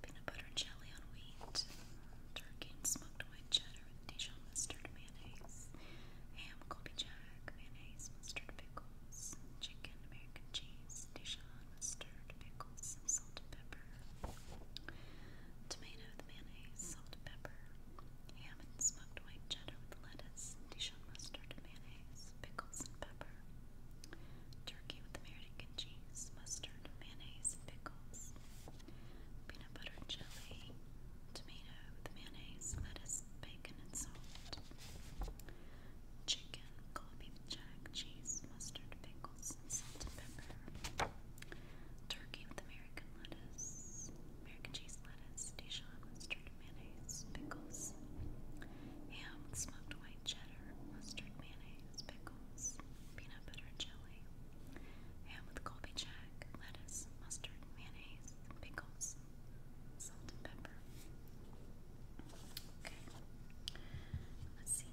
Peanut butter and jelly on wheat, turkey and smoked white cheddar with Dijon mustard mayonnaise, ham, Colby Jack, mayonnaise, mustard pickles, chicken, American cheese, Dijon mustard pickles, some salt and pepper, tomato with mayonnaise, salt and pepper, ham and smoked white cheddar with lettuce, Dijon mustard, mayonnaise, pickles and pepper. Turkey with American cheese, mustard, mayonnaise, and pickles. Peanut butter jelly. Tomato with mayonnaise, lettuce, bacon, and salt. Chicken, collard beef cheese, mustard, pickles, salt and pepper. Turkey with American lettuce. American cheese lettuce, Dijon mustard mayonnaise, pickles, ham, smoked white cheddar, mustard mayonnaise, pickles, peanut butter jelly, ham with Colby Jack, lettuce, mustard, mayonnaise, pickles, salt and pepper. Okay, let's see.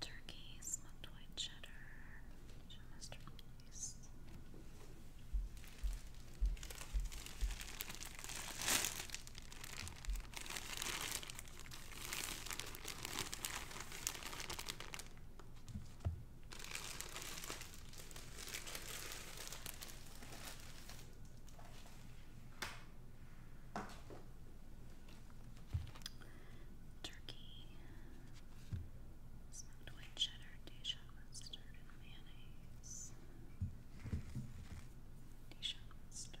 Turkey, smoked white cheddar, mustard nice. Turkey and white cheddar, Dijon mustard, mayonnaise. Dijon mustard.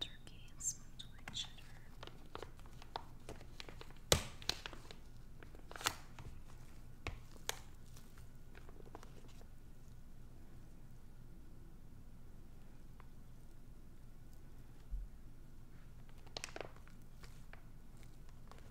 Turkey and smoked white cheddar.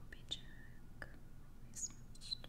Copy Jack, always matched.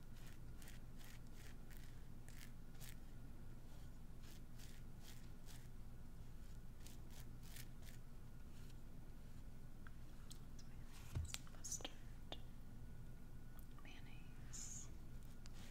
mustard, mayonnaise. All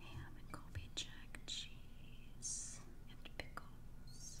Ham and Colby cheese and pickles.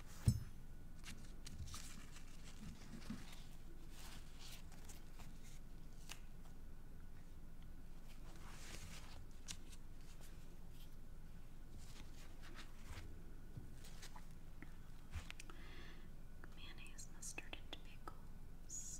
Mayonnaise, mustard, and pickles.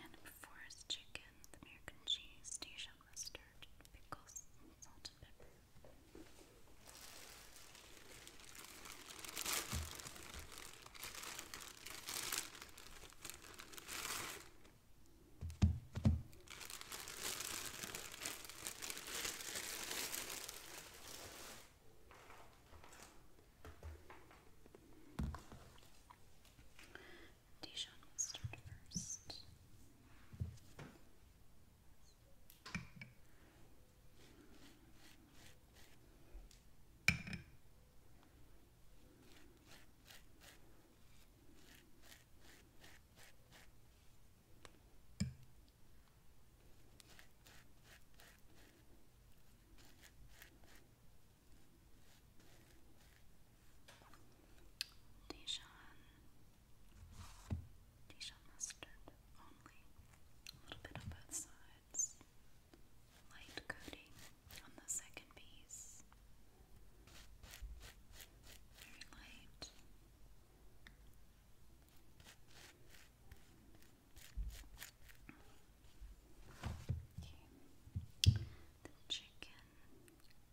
And before chicken, American cheese, Deja mustard, pickles, salt and pepper. Dijon start first. Dijon, Dijon mustard only, a little bit on both sides, light coating on the second piece, very light. Okay. The chicken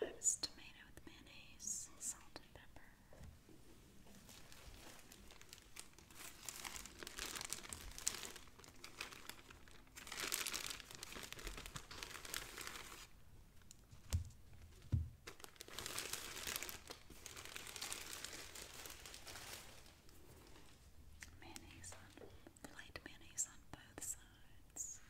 Revives tomato with mayonnaise, salt, and pepper. Mayonnaise on, light mayonnaise on both sides.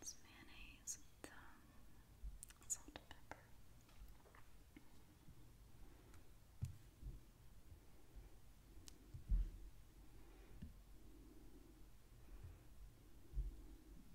It's mayonnaise with um, salt and pepper. It's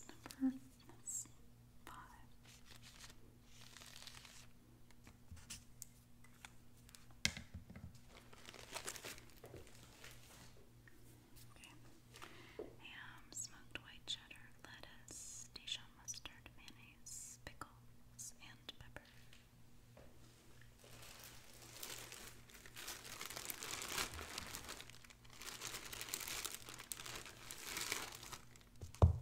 It's number Let's Ham, smoked white cheddar, lettuce, Dijon mustard, mayonnaise, pickles, and pepper. Okay,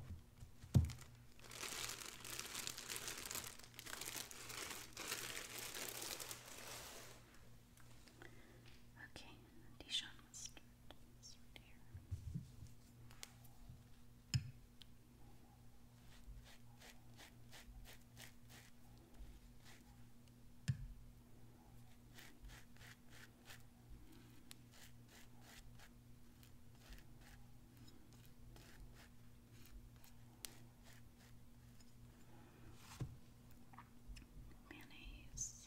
Dijon mustard. mustard here. Mayonnaise. Mayonnaise.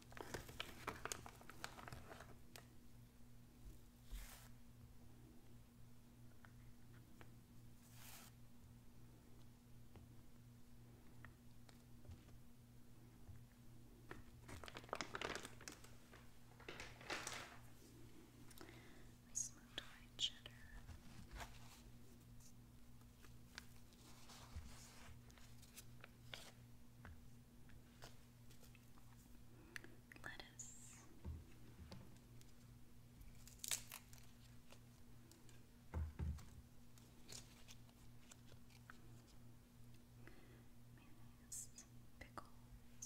We smoked white cheddar. Lettuce. Mayonnaise, pickles.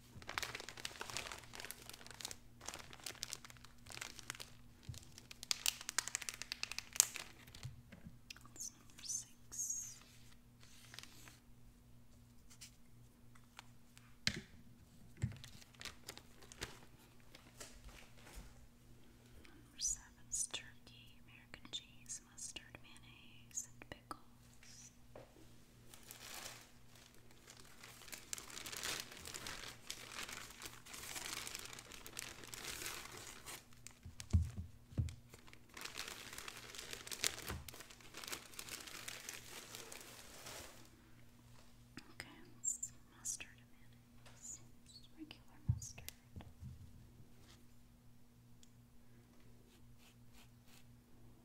That's number six. Number seven is turkey, American cheese, mustard, mayonnaise, and pickles. Okay, it's mustard mayonnaise. Just regular mustard.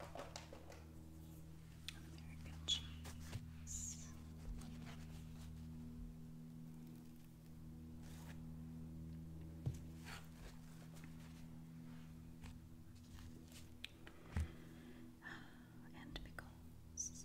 American cheese. And pickles.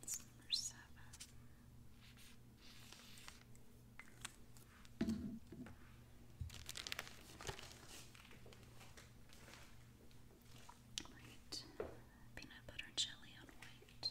That's number seven. Right, peanut butter jelly on white.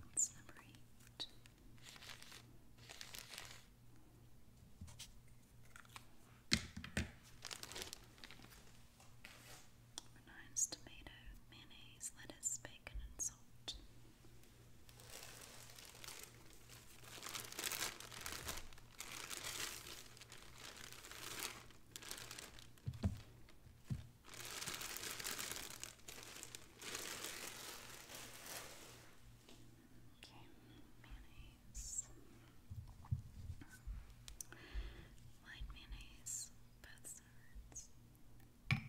That's number eight. Number nine's tomato, mayonnaise, lettuce, bacon, and salt mayonnaise, white mayonnaise, both sides. Okay.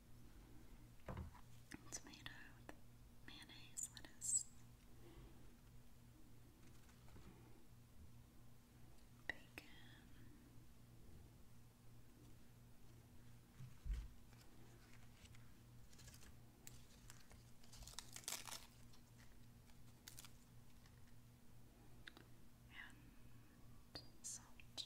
tomato with mayonnaise, lettuce, bacon. And and salt.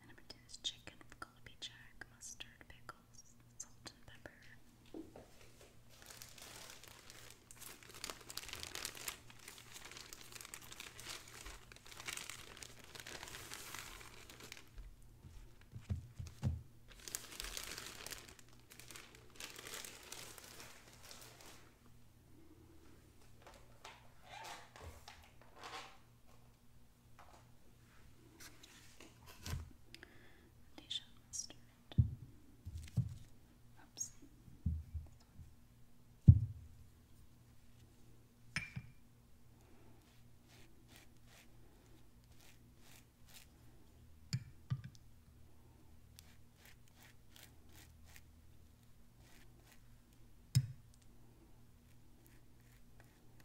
And number two is chicken with Colby Jack, mustard, pickles, salt, and pepper. Foundation mustard. Oops. Foundation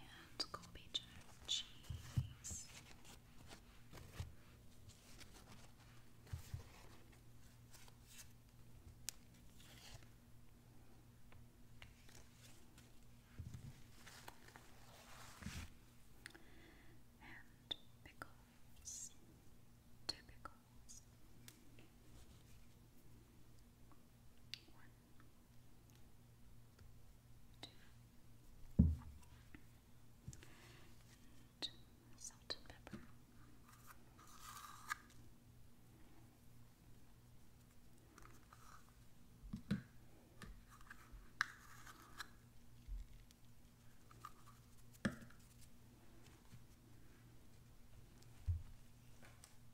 and Colby cheese. And pickles, two pickles. One, two, salt and pepper.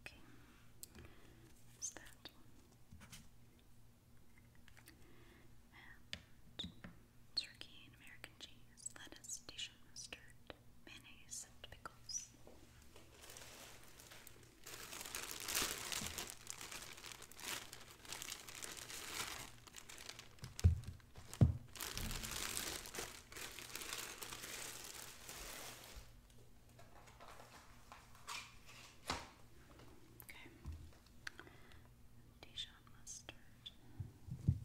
Okay, that's turkey and American cheese, lettuce, dish mustard, mayonnaise, and pickles. Okay. Dijon mustard. Okay.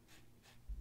Turkey with American.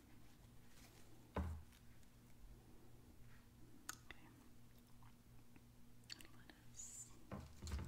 Anyone else? And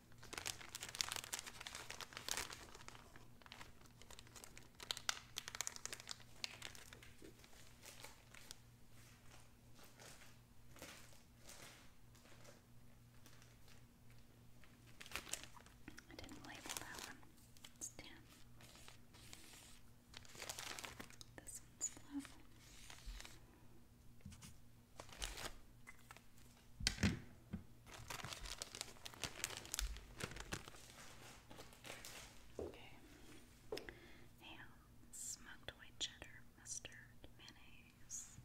I didn't label that one. It's ten. This one's love. Okay. Ham, smoked white cheddar, mustard, mayonnaise.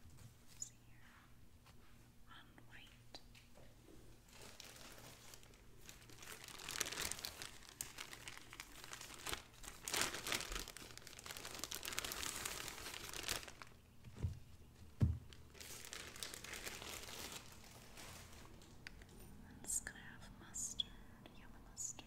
On white. It's gonna have mustard, yellow mustard.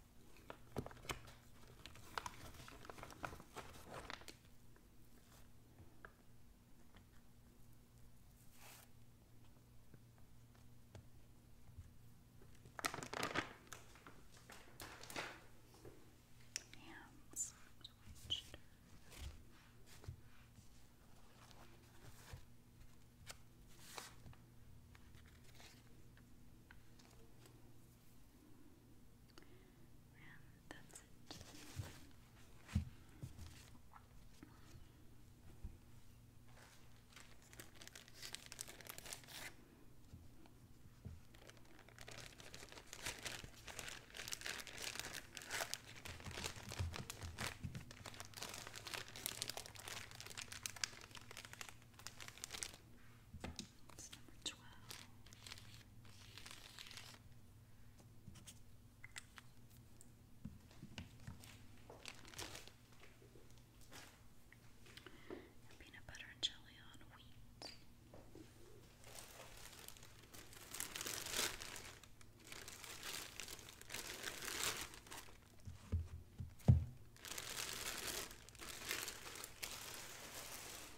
Hands. Okay. And that's it. That's number 12. peanut butter and jelly on wheat.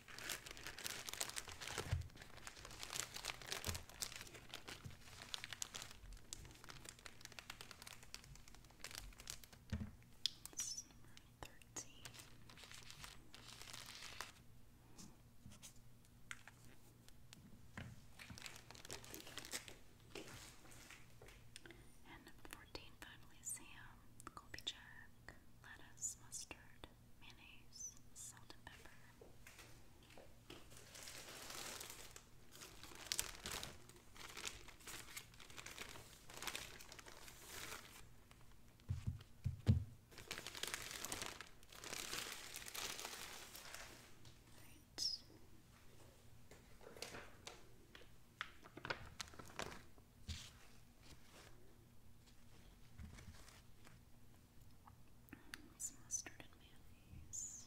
It's number 13. And number 14, finally, Sam, Colby lettuce, mustard, mayonnaise, salt and pepper. Right mustard and mayonnaise.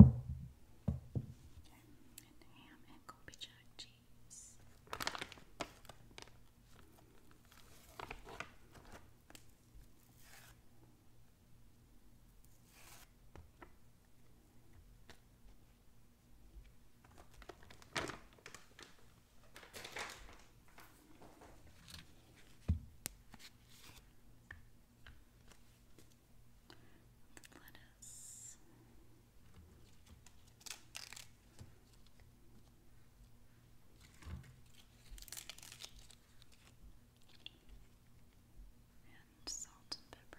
And ham and Kobe jack cheese the lettuce. And salt and pepper.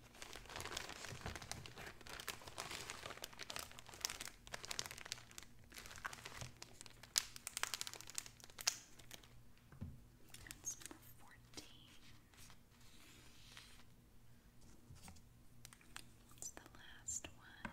That's number fourteen. It's the last one.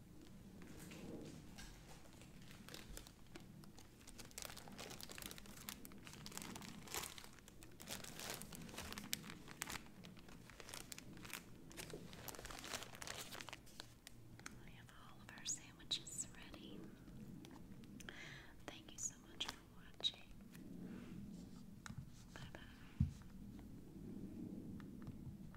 We have all of our sandwiches ready. Thank you so much for watching. Bye bye.